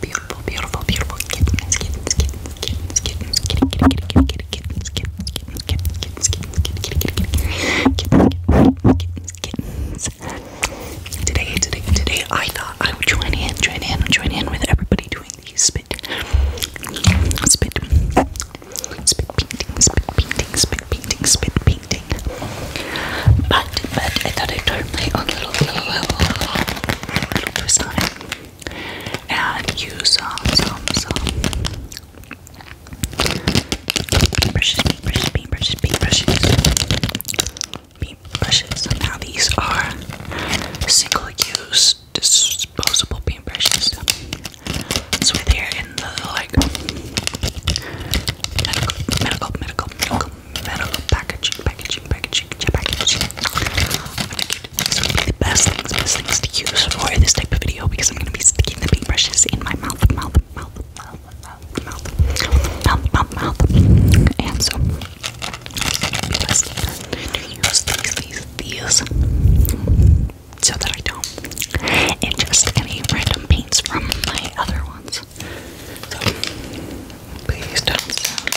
beautiful, beautiful, beautiful kittens, kittens, kittens, kittens, kittens, kitty, kitty, kitty, kitty, kittens, kittens, kittens, kittens, kittens, kittens, kittens, kittens, kittens, kittens. Today, today, today, I thought I would join in, join in, join in with everybody doing these spit, spit, spit painting, spit painting, spit painting, spit painting. But, but I thought I'd turn my own little, little, little, little twist on it and you saw some, some brushes, bean brushes, bean brushes, Now these are single-use disposable bean brushes. So they're in the like medical, medical, medical, medical, medical packaging, packaging, packaging, packaging. These would be the best things, best things to use for this type of video because I'm gonna be sticking the paintbrushes in my mouth, mouth, mouth, mouth, mouth, mouth, mouth, mouth, mouth. And so be best to use these, these, these so that I don't ingest any random paints from my other ones. So please don't sound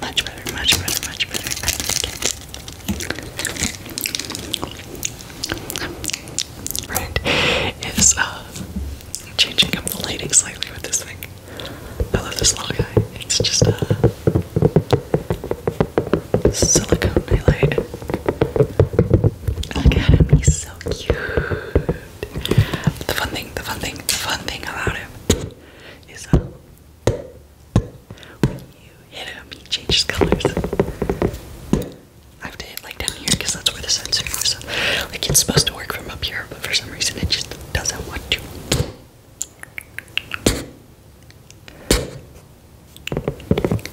Much better, much better, much better. I like it. Red is uh, changing up the lighting slightly with this thing. I love this little guy. It's just a uh, silicone nightlight. Look at him, he's so cute. The fun thing, the fun thing, the fun thing about him is uh, when you hit him, he changes colors. I have to hit like down here because that's where the sensor is. like it's supposed to work from up here, but for some reason it just doesn't want to.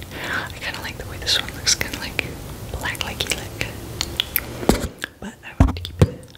I kind of like the way this one looks, kind of like black, like like. But I want to keep it.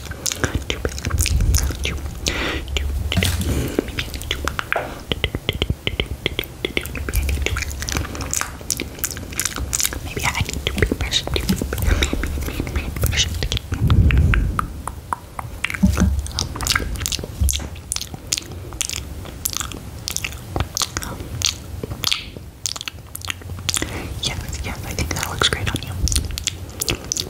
Maybe I need to be brushed. Yes, yes, I think that looks great on you.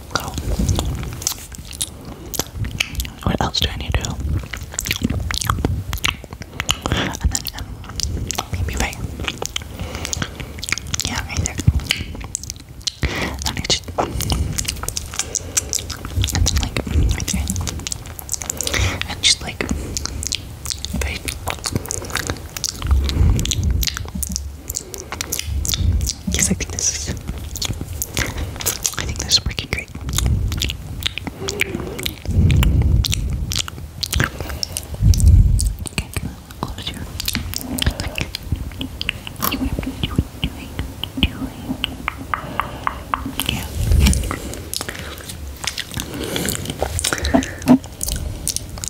Go. What else do I need to do? And then um, maybe bake. Yeah, either. I need to. And then like right there. And just like bake. Yes, I think this is. I think this is freaking great. Okay, close your yeah.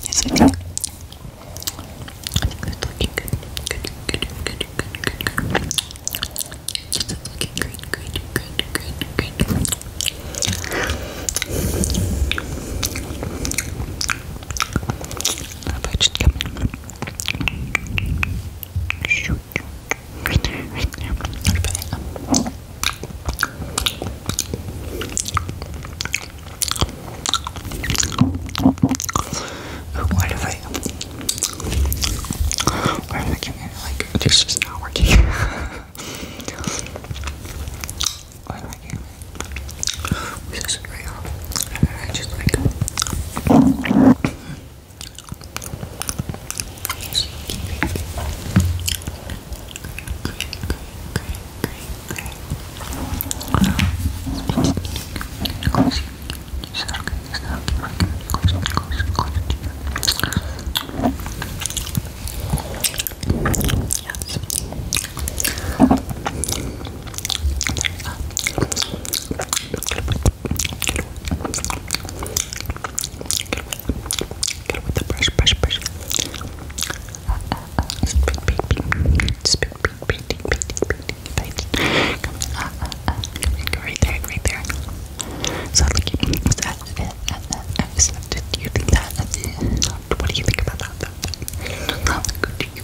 Yes, I do. I think that's looking good. Good, good, good, good, good, good. Yes, that's looking great, great, great, great, great. Now if I just come in. Shoot. Right there, right there. What about it? Oh, what if I what if I can like this is not working? what if I can this is real? I just like Great, Get with the brush, brush, brush. Spit, baby. Spit, pretty, pretty, pretty, pretty. Come in, uh, uh, uh, come in, go right there, right there. So like, that, uh, uh, I just left it. Do you think that? Uh, what do you think about that? That, that, that look good to you.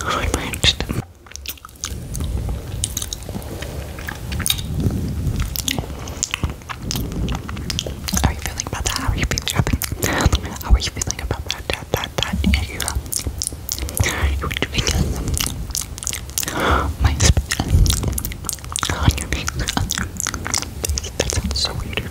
How are you feeling about that? How are you feeling? How are you feeling about that? That, that, that, you, uh, doing uh, my spit your face, on your face. That sounds so weird.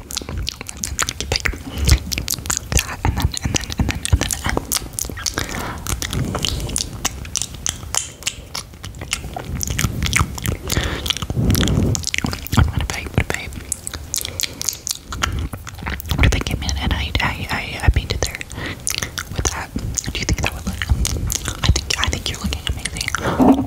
I'm gonna bake, but babe. What if I came in and I, I, I, I painted there with that? Do you think that would look? I think, I think you're looking amazing.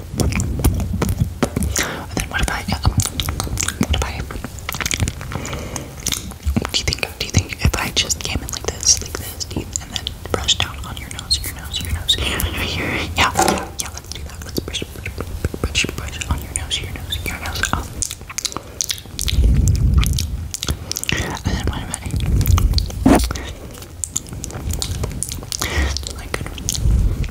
And then what if I, um, what if I, do you think, do you think if I just came in like this, like this, and then brushed down on your nose, your nose, your nose, your nose, your, yeah, yeah, yeah, let's do that, let's brush, brush, brush, brush on your nose, your nose, your nose, um, and then what about it? Like,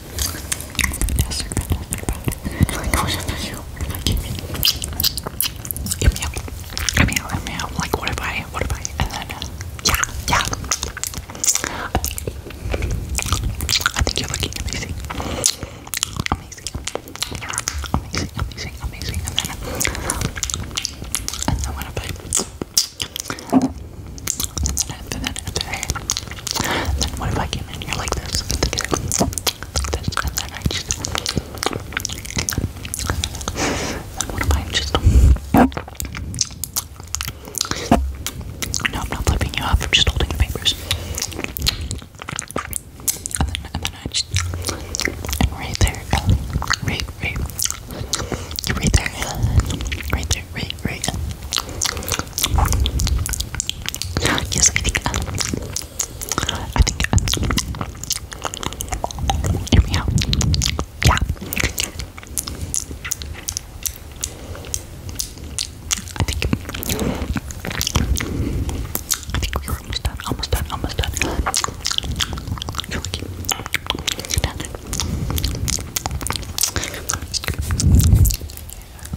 Fantastic, fantastic, fantastic. Yum, yum. Yum, yum, yum, yum. Like, what if I, what if I, and then, yeah, yeah. I think you're looking amazing. Amazing. Amazing, amazing, amazing. And then, and then what if I, and then And then what if I came in and like this? and then what if I just. No, I'm not flipping you off, I'm just holding the papers. And then, and then I just. And right there, right, right. Right there, right there right, right, Yes, I think. Um, I think. Um, hear me out. Yeah. I think. I think we were almost done. Almost done. Almost done. done.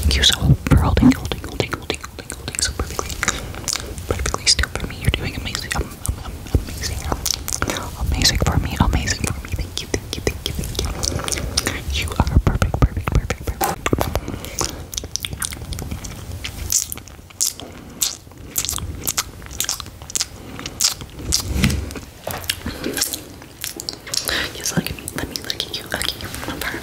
Thank you so much for holding, holding, holding, holding, holding, holding so perfectly, perfectly still for me. You're doing amazing, amazing, amazing for me, amazing for me. Thank you, thank you, thank you, thank you. You are perfect, perfect, perfect, perfect. Just look at me. Let me look at you. Okay, I'm far, I'm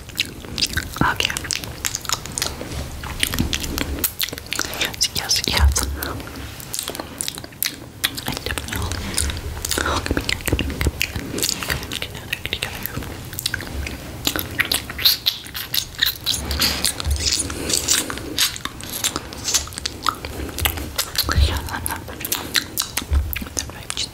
Okay. Yes, yes, yes. I definitely will. Oh, come here, come here, come here. Come here, get out there, get out there. Yeah, I'm not. That right, just.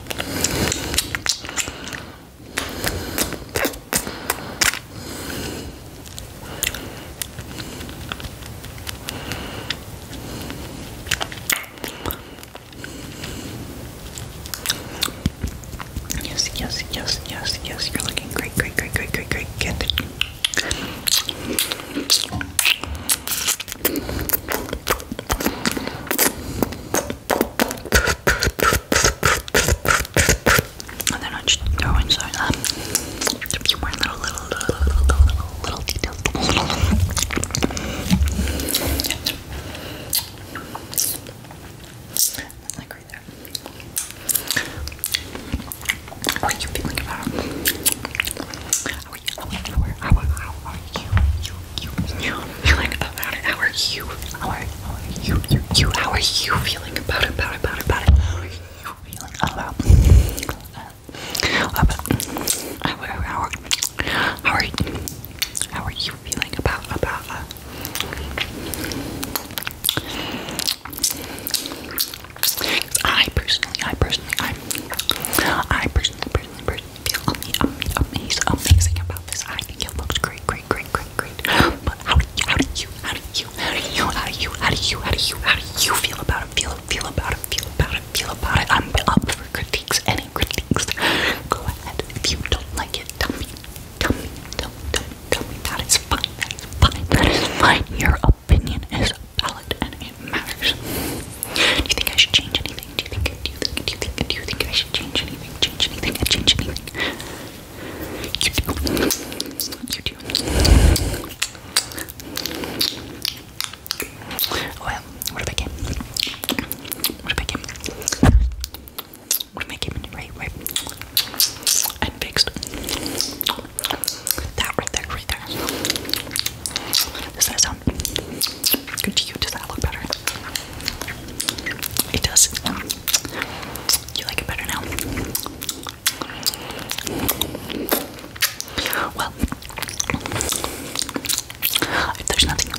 Yes, yes, yes, yes, yes. You're looking great, great, great, great, great, great. Get it. And then I just throw in some um, a few more little, little, little, little, little, little details. like right there. What are you feeling about? How are you? How are you? How are you? How are you? You, you, you feeling about it? How are you? How are you? You, you, how are you feeling about it? About it? About it? About it? How are you feeling about it? How are how are how are you? How are you feeling about about? Uh, I personally, I personally, I, I personally, personally, personally, feel amazing, amazing, amazing about this. I think it looks great, great, great, great, great. But how do you, how do you, how do you, how do you, how do you, how do you, how do you, how do you feel about it? Feel, feel about it, feel about it, feel about it. I'm up for critiques, any critiques. Go ahead. If you don't like it, tell me, tell me, tell me, tell me, tell me that it's fine, that is fine, that is fine. Your opinion is valid and it matters. Do you think I should change anything? anything? Do you think? Do you think? Do you think? Do you think I should change anything? Change anything? I change anything? You do. You do. Well, what if I came? What if I came? What if I came in right, right, and fixed that right there, right there? Does that sound good to you? Does that look better? It does. You like it better now? Well, there's nothing,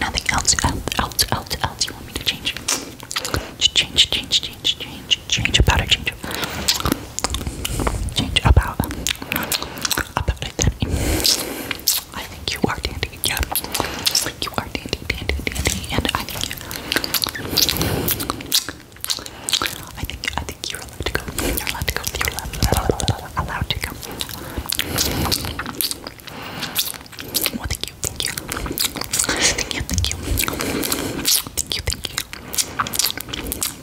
nothing else, else, else, else you want me to change, change, change, change, change, change about it, change, change about, about, I think you are dandy, yeah. You are dandy, dandy, dandy, and I think I think you're allowed to go. You're allowed to go. You're allowed, allowed to go. thank you, thank you, thank you, thank you